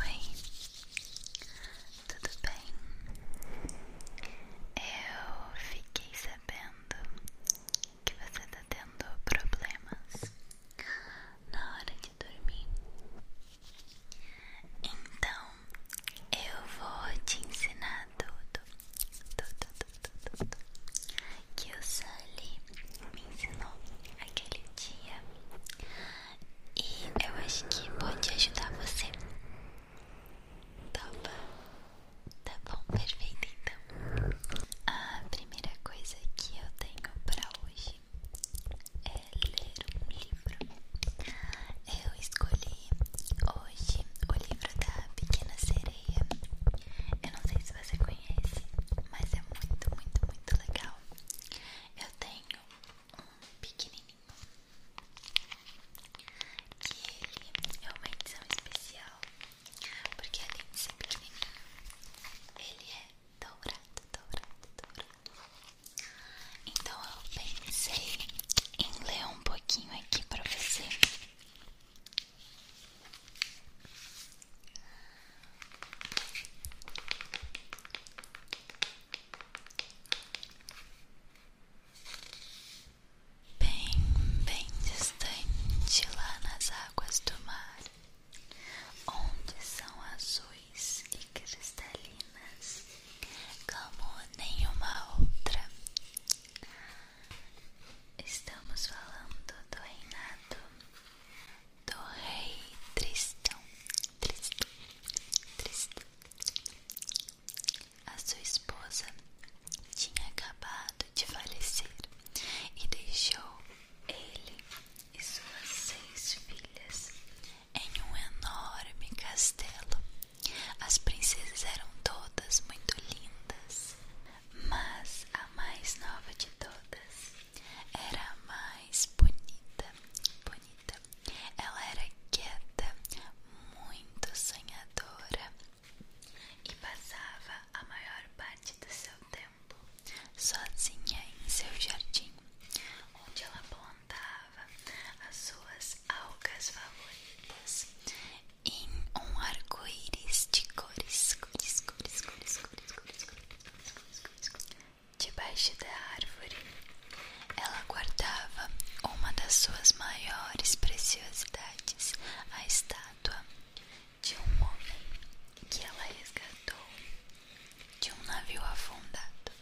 Oi, tudo bem? Eu fiquei sabendo que você está tendo problemas na hora de dormir. Então eu vou te ensinar tudo, tudo, tudo, tudo que o Sully me ensinou aquele dia e eu acho que pode ajudar você. Topa? Tá, tá bom, perfeito então. A primeira coisa que eu tenho pra hoje é ler um livro. Eu escolhi hoje o livro da Pequena Sereia. Eu não sei se você conhece, mas é muito, muito, muito legal. Eu tenho um pequenininho e ele é uma edição especial, porque além de ser pequenininho, ele é dourado, dourado, dourado. Então eu pensei em ler um pouquinho aqui pra você. Bem, bem distante lá nas águas do mar, onde são azuis e cristalinas como nenhuma outra. Estamos falando do reinado do rei Tristão, Tristão, Tristão. A sua esposa tinha acabado de falecer e deixou ele e suas seis filhas em um enorme castelo. As princesas eram todas muito lindas, mas a mais nova de todas era mais bonita, bonita. Ela era quieta, muito sonhadora e passava a maior parte do seu tempo sozinha em seu jardim, onde ela plantava as suas algas favoritas em um arco-íris de cores, cores, cores, cores, cores, cores. Debaixo da árvore, ela guardava uma das suas maiores preciosidades, a estátua de um homem que ela resgatou de um navio afundado.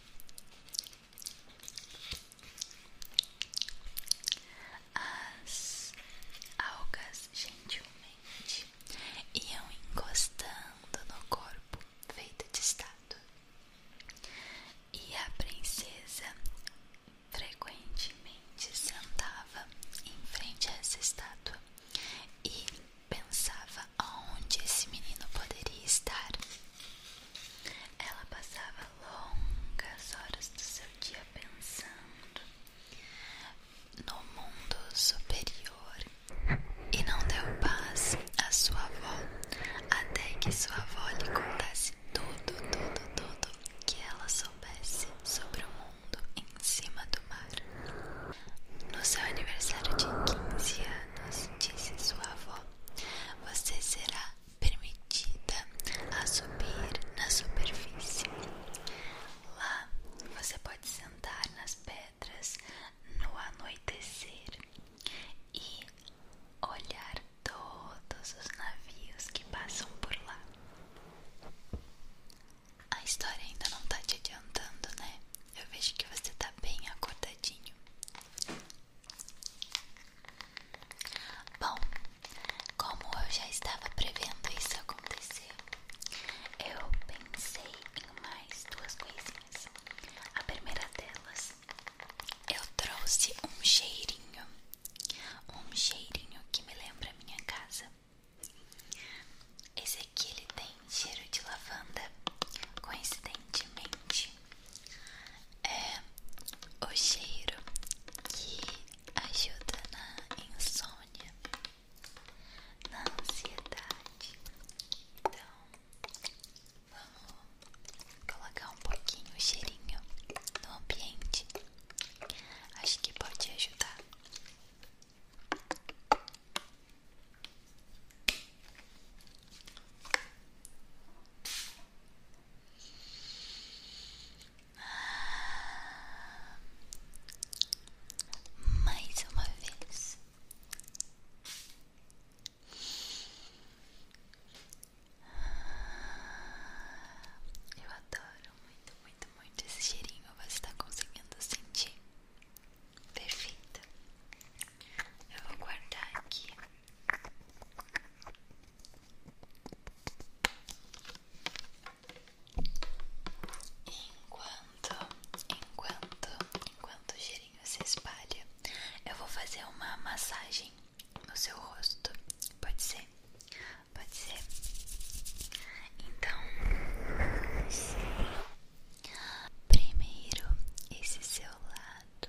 As algas gentilmente lentamente iam encostando no corpo feito de estátua. E a princesa frequentemente sentava em frente a essa estátua e pensava onde esse menino poderia estar. Ela passava longas horas do seu dia pensando, no mundo superior e não deu paz à sua avó até que sua avó lhe contasse tudo, tudo, tudo que ela soubesse sobre o mundo em cima do mar. No seu aniversário de 15 anos, disse sua avó, você será permitida a subir na superfície. Lá você pode pode sentar nas pedras no anoitecer e olhar todos os navios que passam por lá. A história ainda não está te adiantando, né? Eu vejo que você está bem acordadinho. Bom, como eu já estava prevendo isso acontecer, eu pensei em mais duas coisinhas. A primeira delas, eu trouxe um cheirinho, um cheirinho que me lembra a minha casa. Esse aqui ele tem cheiro de lavanda, coincidentemente. É o cheiro que ajuda na insônia na ansiedade. Então, vamos colocar um pouquinho o cheirinho no ambiente. Acho que pode ajudar mais uma vez. Eu adoro muito, muito, muito esse cheirinho. Você está conseguindo sentir? Perfeito. Eu vou guardar aqui. Enquanto, enquanto, enquanto o cheirinho se espalha, eu vou fazer uma massagem no seu rosto. Pode ser? Pode ser? Então, primeiro esse seu lado.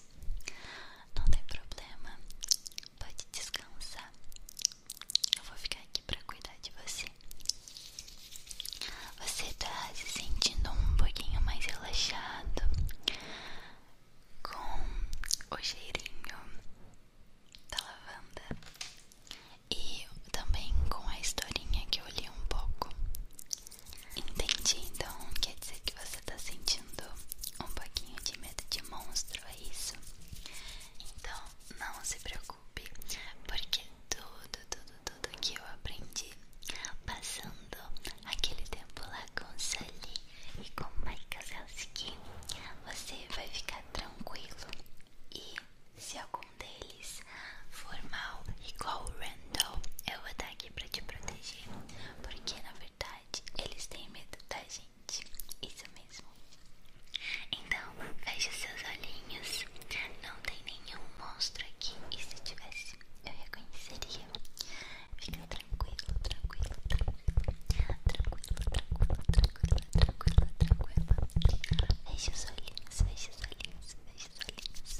não tem problema, pode descansar. Eu vou ficar aqui pra cuidar de você. Você tá se sentindo um pouquinho mais relaxado com o cheirinho da lavanda e também com a historinha que eu li um pouco. Entendi, então quer dizer que você tá sentindo um pouquinho de medo de monstro, é isso? Então não se preocupe, porque tudo, tudo, tudo que eu aprendi passando aquele tempo lá com Sally e com o Mike Kazelski, você vai ficar tranquilo e se algum deles for mal igual o Randall, eu vou estar aqui aqui pra te proteger, porque na verdade eles têm medo da gente, isso mesmo. Então, feche seus olhinhos, não tem nenhum monstro aqui, e se tivesse, eu reconheceria. Fica tranquilo, tranquilo, tranquilo, tranquilo, tranquilo, tranquilo, tranquilo, tranquilo. Feche os olhinhos, feche os olhinhos, feche os olhinhos.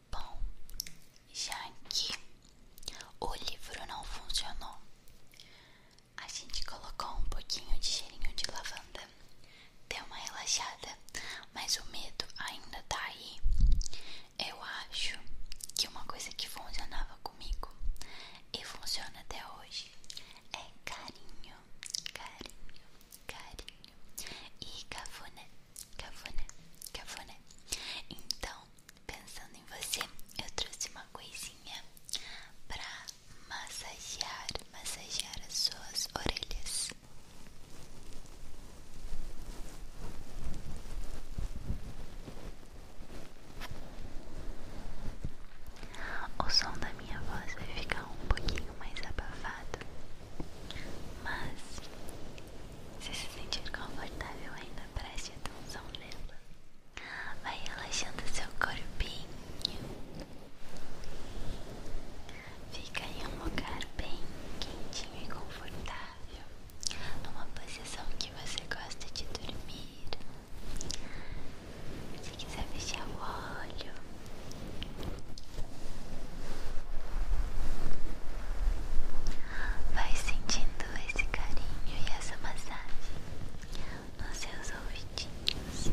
Bom, já que o livro não funcionou, a gente colocou um pouquinho de cheirinho de lavanda, deu uma relaxada, mas o medo ainda tá aí. Eu acho que uma coisa que funcionava comigo e funciona até hoje é carinho, carinho, carinho e cafuné. Acabou, né? Acabou, né? Então, pensando em você, eu trouxe uma coisinha pra massagear, massagear as suas orelhas. O som da minha voz vai ficar um pouquinho mais abafado, mas, se se sentir confortável ainda, preste atenção nela. Vai relaxando seu corpinho. Fica em um lugar bem quentinho e confortável. Numa posição que você gosta de dormir. Se quiser fechar o olho, Vai sentindo esse carinho e essa massagem nos seus ouvidinhos.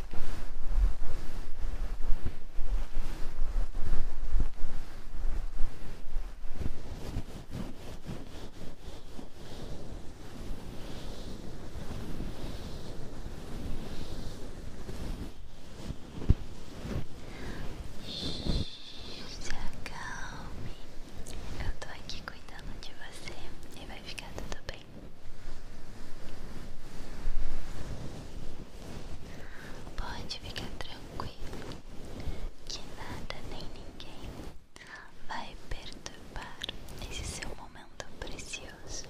Se acalme, eu tô aqui cuidando de você e vai ficar tudo bem. Pode ficar tranquilo que nada nem ninguém vai perturbar esse seu momento precioso.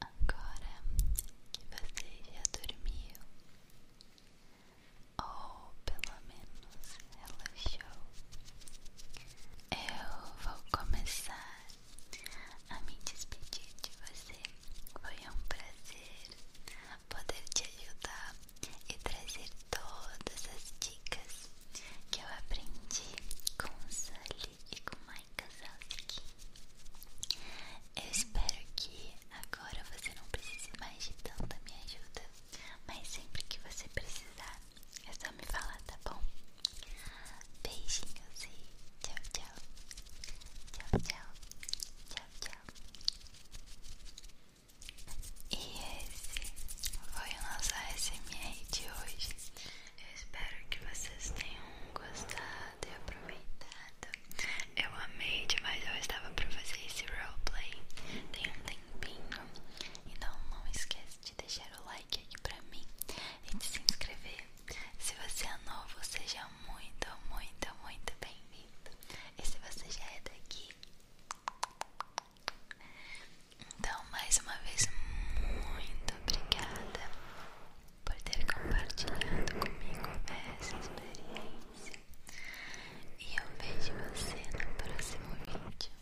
Agora que você já dormiu, ou pelo menos relaxou. Eu vou começar a me despedir de você. Foi um prazer poder te ajudar e trazer todas as dicas que eu aprendi com o Sully e com Mike Kazowski. Eu espero que a Agora você não precisa mais de tanta minha ajuda, mas sempre que você precisar, é só me falar, tá bom? Beijinhos e tchau, tchau. Tchau, tchau. Tchau, tchau. E esse foi o nosso ASMR de hoje. Eu espero que vocês tenham gostado e aproveitado. Eu amei demais, eu estava pra fazer esse roleplay Tem um tempinho Então não esquece de deixar o like aqui pra mim E de se inscrever Se você é novo, seja muito, muito, muito bem-vindo E se você já é daqui Então mais uma vez Muito obrigada por ter compartilhado comigo essa experiência e eu vejo você no próximo vídeo.